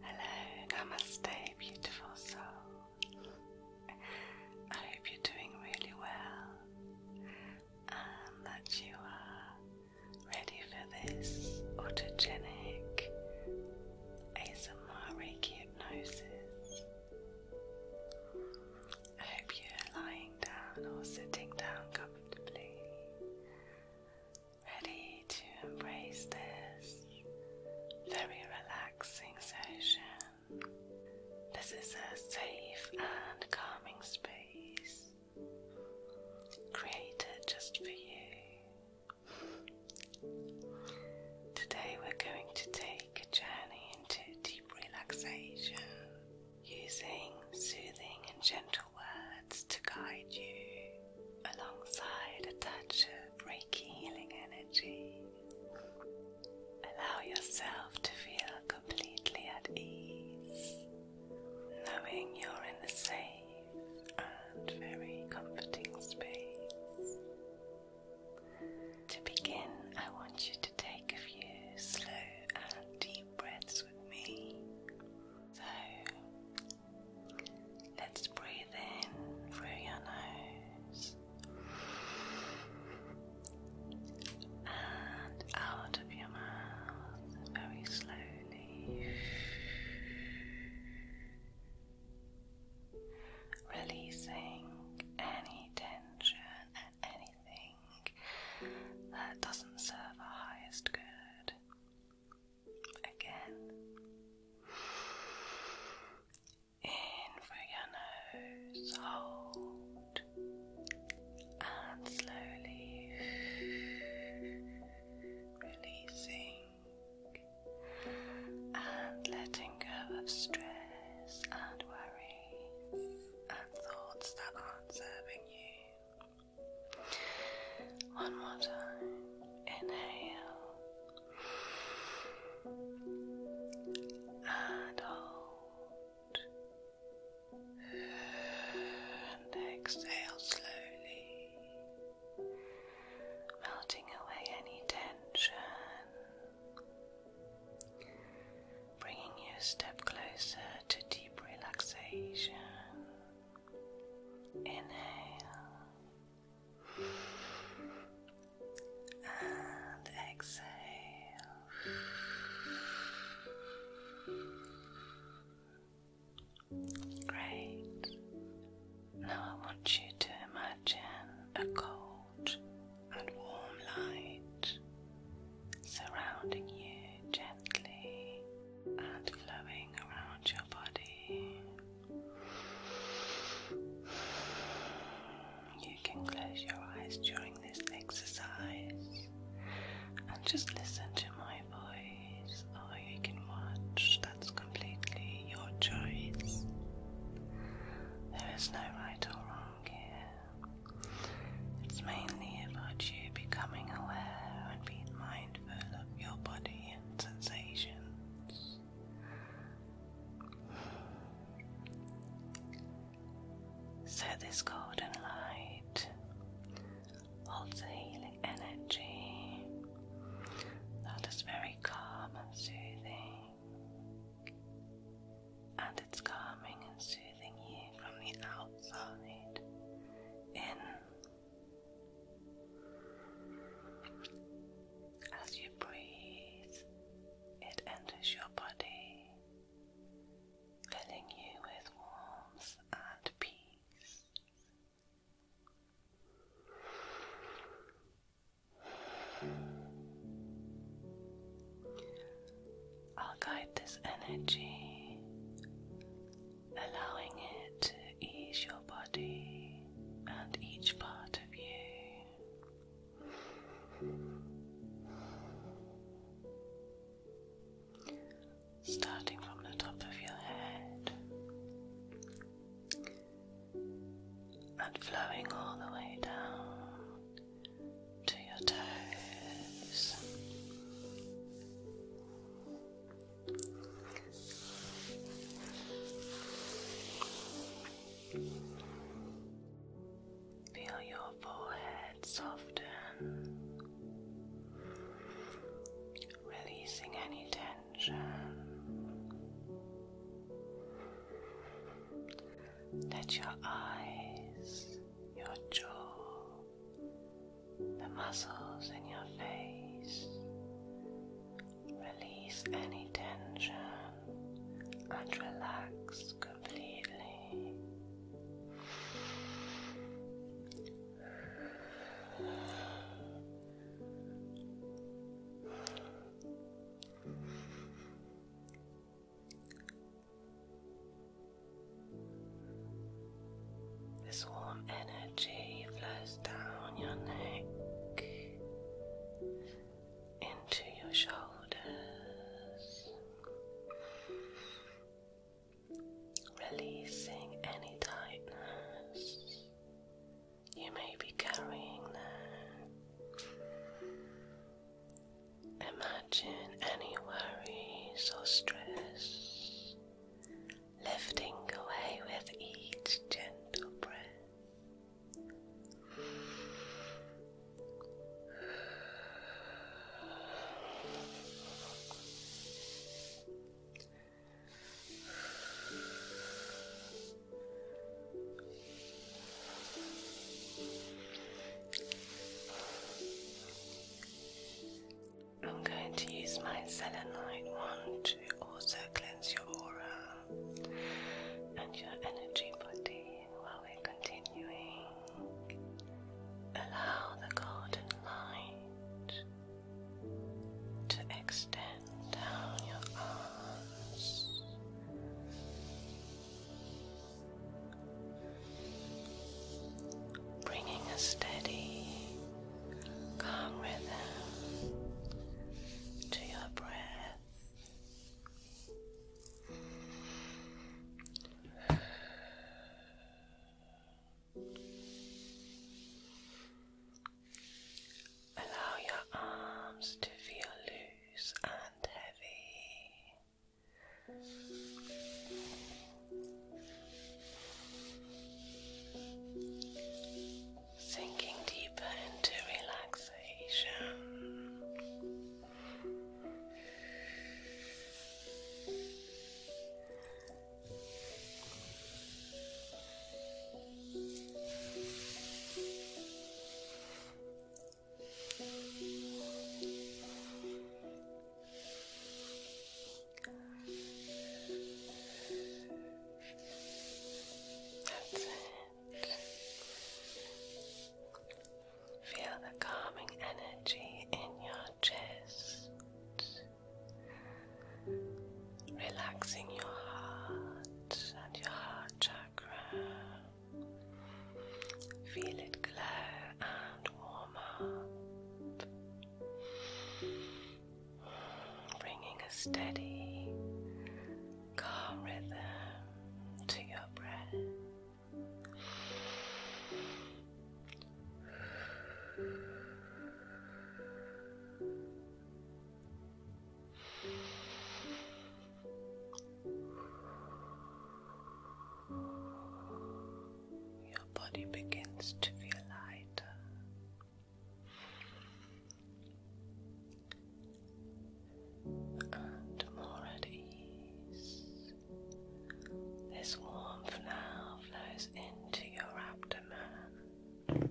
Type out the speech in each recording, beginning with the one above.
Hello, namaste, beautiful soul. I hope you're doing really well and that you are ready for this autogenic ASMR Reiki hypnosis. I hope you're lying down or sitting down comfortably ready to embrace this very relaxing session. This is a safe and calming space created just for you. Today, we're going to take a journey into deep relaxation using soothing and gentle words to guide you alongside a touch of Reiki healing energy. Allow yourself to feel completely at ease, knowing you're in the safe and very comforting space. To begin, I want you to take a few slow and deep breaths with me. So, Let's breathe in through your nose and out of your mouth very slowly. Releasing any tension and anything that doesn't serve our highest good. Again. In through your nose, hold, and slowly releasing and letting go of stress and worries and thoughts that aren't serving you. One more time. Inhale and hold. And exhale slowly, melting away any tension, bringing you a step closer to deep relaxation. Inhale and exhale. Great. Now I want you to imagine a cold and warm light surrounding you gently and flowing around your body. You can close your eyes during this exercise and just listen to my voice, or you can watch. That's completely your choice. There is no right or wrong here. It's mainly about you becoming aware and being mindful develop your body and sensations. Set this golden light, holds the healing energy that is very calm and soothing, and it's calming and soothing you from the outside in. As you breathe, it enters your body, filling you with warmth and peace. I'll guide this energy allowing it to ease your body and each part of you. Starting from the top of your head and flowing all the way down to your toes. Feel your forehead soften, releasing any tension. Let your eyes, your jaw, the muscles in your face. Release any tension and relax completely. This warm energy flows down your neck, into your shoulders, releasing any tightness you may be carrying there. Imagine any worries or stress lifting away with each gentle breath. I'm going to use my selenite wand to also cleanse your aura and your energy body while we're continuing. Allow the golden light to extend down your arms. Bringing a steady Come with to your breath. Allow your arms to feel loose and heavy. Sinking deeper into relaxation. That's it. Feel the calming energy in your chest, relaxing your heart and your heart chakra. Feel it glow and warm up bringing a steady, calm rhythm to your breath. Your body begins to feel lighter and more at ease. This warmth now flows into your abdomen.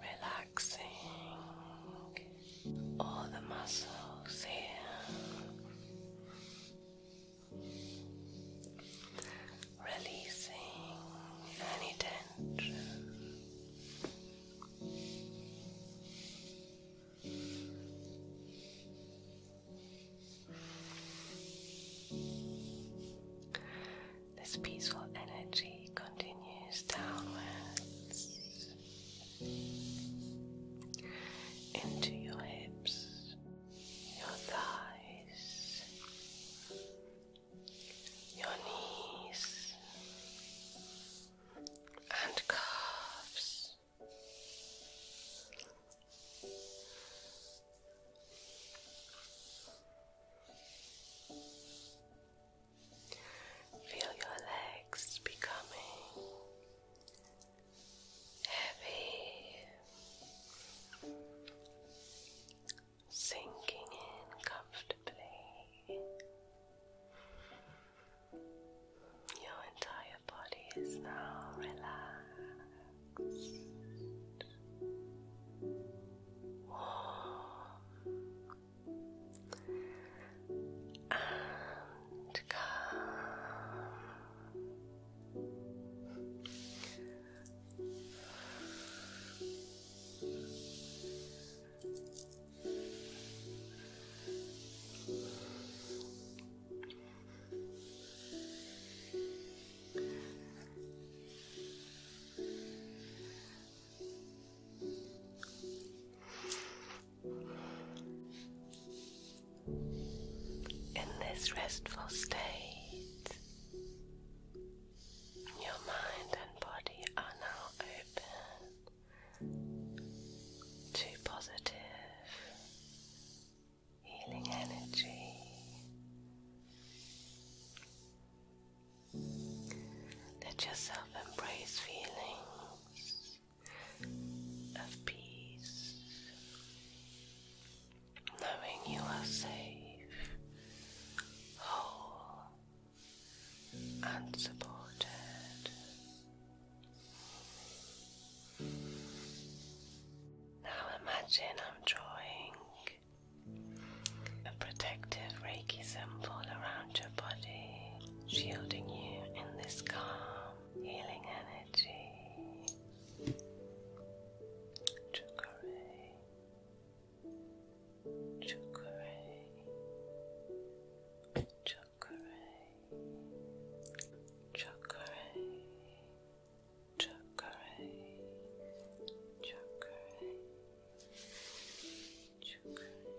Relaxing all the muscles here, releasing any tension. This peaceful energy continues downwards into your hips, your thighs, your knees, and calves. Feel your legs becoming heavy, sinking in comfortably. Your entire body is now relaxed, and calm. In this restful state, your mind and body are now open to positive healing energy. Let yourself embrace feelings of peace, knowing you are safe, whole, and supported. Now imagine I'm drawing a protective Reiki symbol around your body, shielding you in this calm, healing energy. Chukare, chukare, chukare, chukare, chukare, chukare, chukare. Chukare,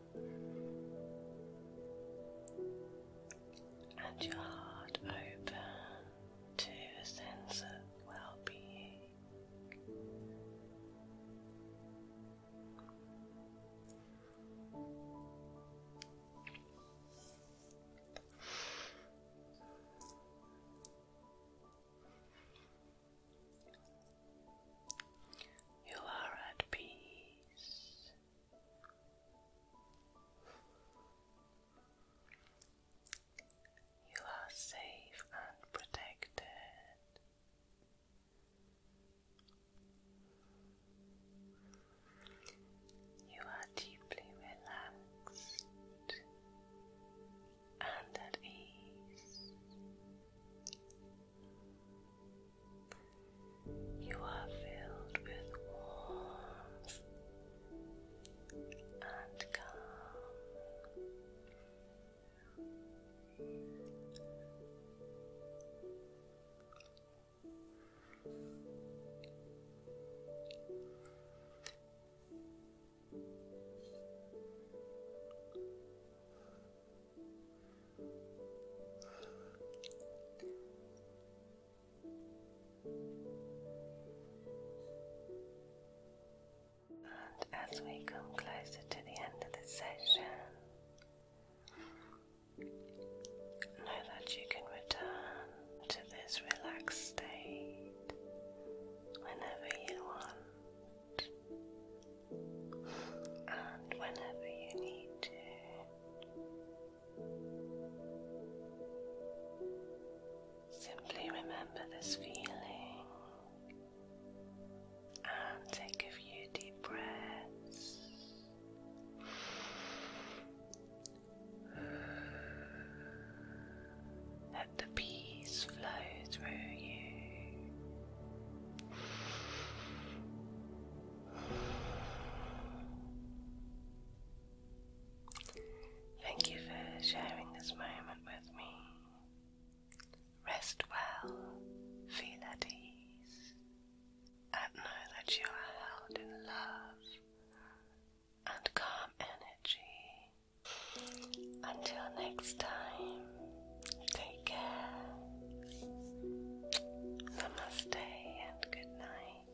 and your heart open to a sense of well being. You are at peace. You are safe and protected. You are deeply relaxed and at ease. You are filled with warmth and calm. And as we come closer to the end of the session, know that you can return to this relaxed state whenever you want and whenever you need to. Simply remember this feeling and take a few deep breaths. Let the peace flow through you. Thank you for sharing this moment with me. Rest well, feel at ease, and know that you are held in love and calm energy. Until next time, Take care. Namaste and good night.